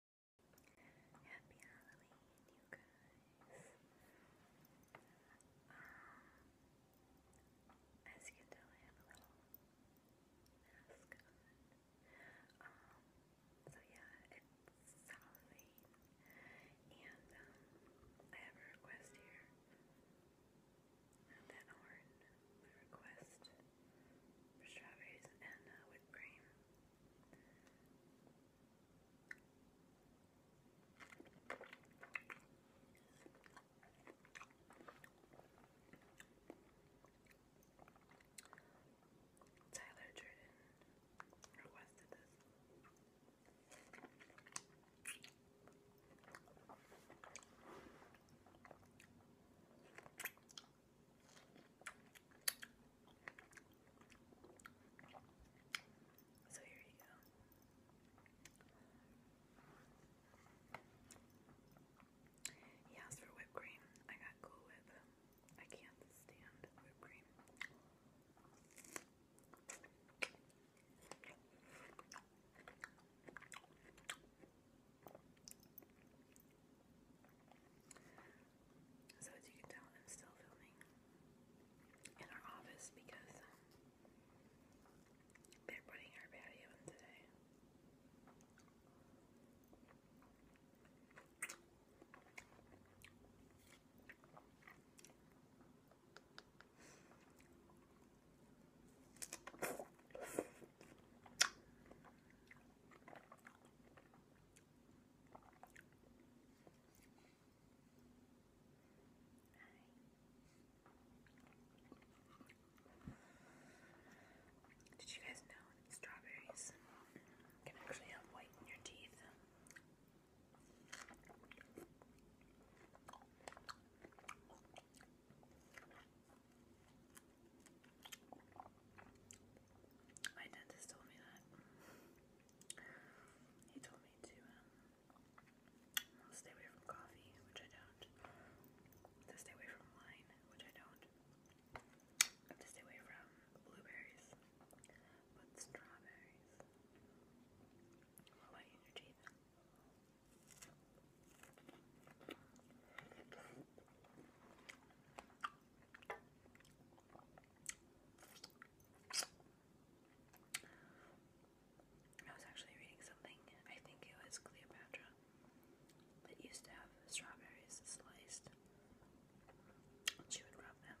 Happy Halloween, you guys. as you can tell, I have a little mask um, so yeah, it's Halloween. And um, I have a request here. Not that horn, request strawberries and uh, whipped cream. Tyler Jordan requested this. So here you go. He asked for whipped cream. I got Cool Whip. I can't stand whipped cream. So as you can tell, I'm still filming in our office because um, they're putting our patio in today. Did you guys know strawberries can actually help whiten your teeth? My dentist told me that. He told me to um, stay away from coffee, which I don't. To stay away from wine, which I don't. To stay away from blueberries with strawberries. What about you, Javen? I was actually reading something, I think it was Cleopatra, that used to have strawberries sliced. She would rub them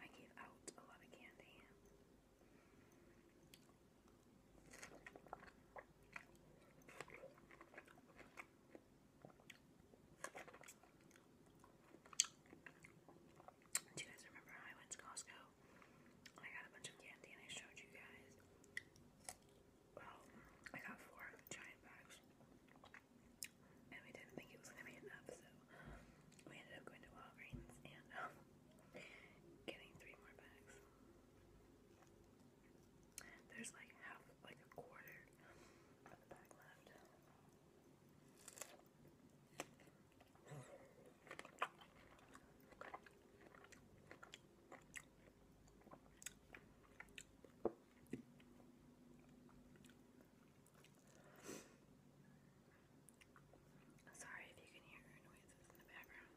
I gave out a lot of candy. Do you guys remember I went to Costco? I got a bunch of candy and I showed you guys. Well, I got four giant bags. And we didn't think it was going to be enough, so we ended up going to Walgreens and um, getting three more bags. There's like half, like a quarter of the bag left. Sorry if you can hear noises in the background.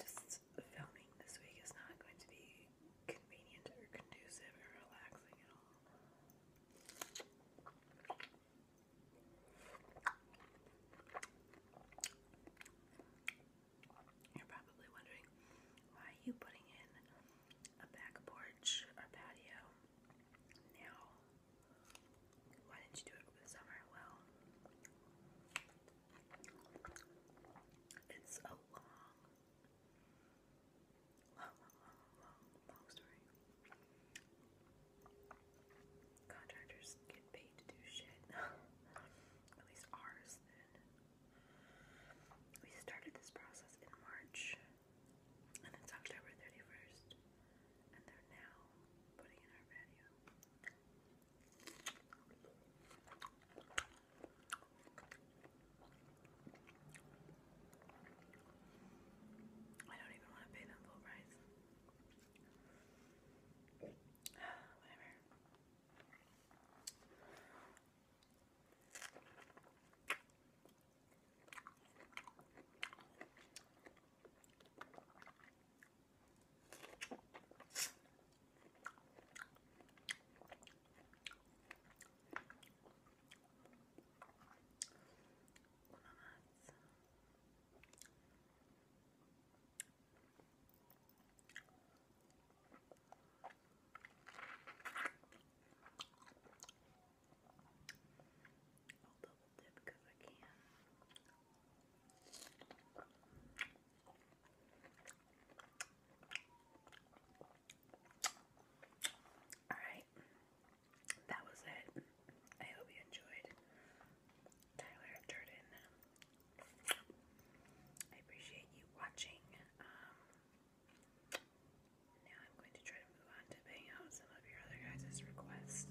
Just filming this week is not going to be convenient or conducive or relaxing at all. You're probably wondering why are you putting in a back porch or patio now? Why didn't you do it over the summer? Well, it's a long, long, long, long story. Contractors get paid to do shit. At least ours We started this process in March and it's October 31st and they're now putting in our patio. I don't even want to pay them full price. Whatever. Donuts. I'll double dip because I can. Alright, that was it. I hope you enjoyed Tyler Durden. I appreciate you watching. Um, now I'm going to try to move on to paying out some of your other guys' requests.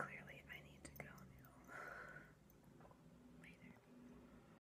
Clearly, I need to go Later.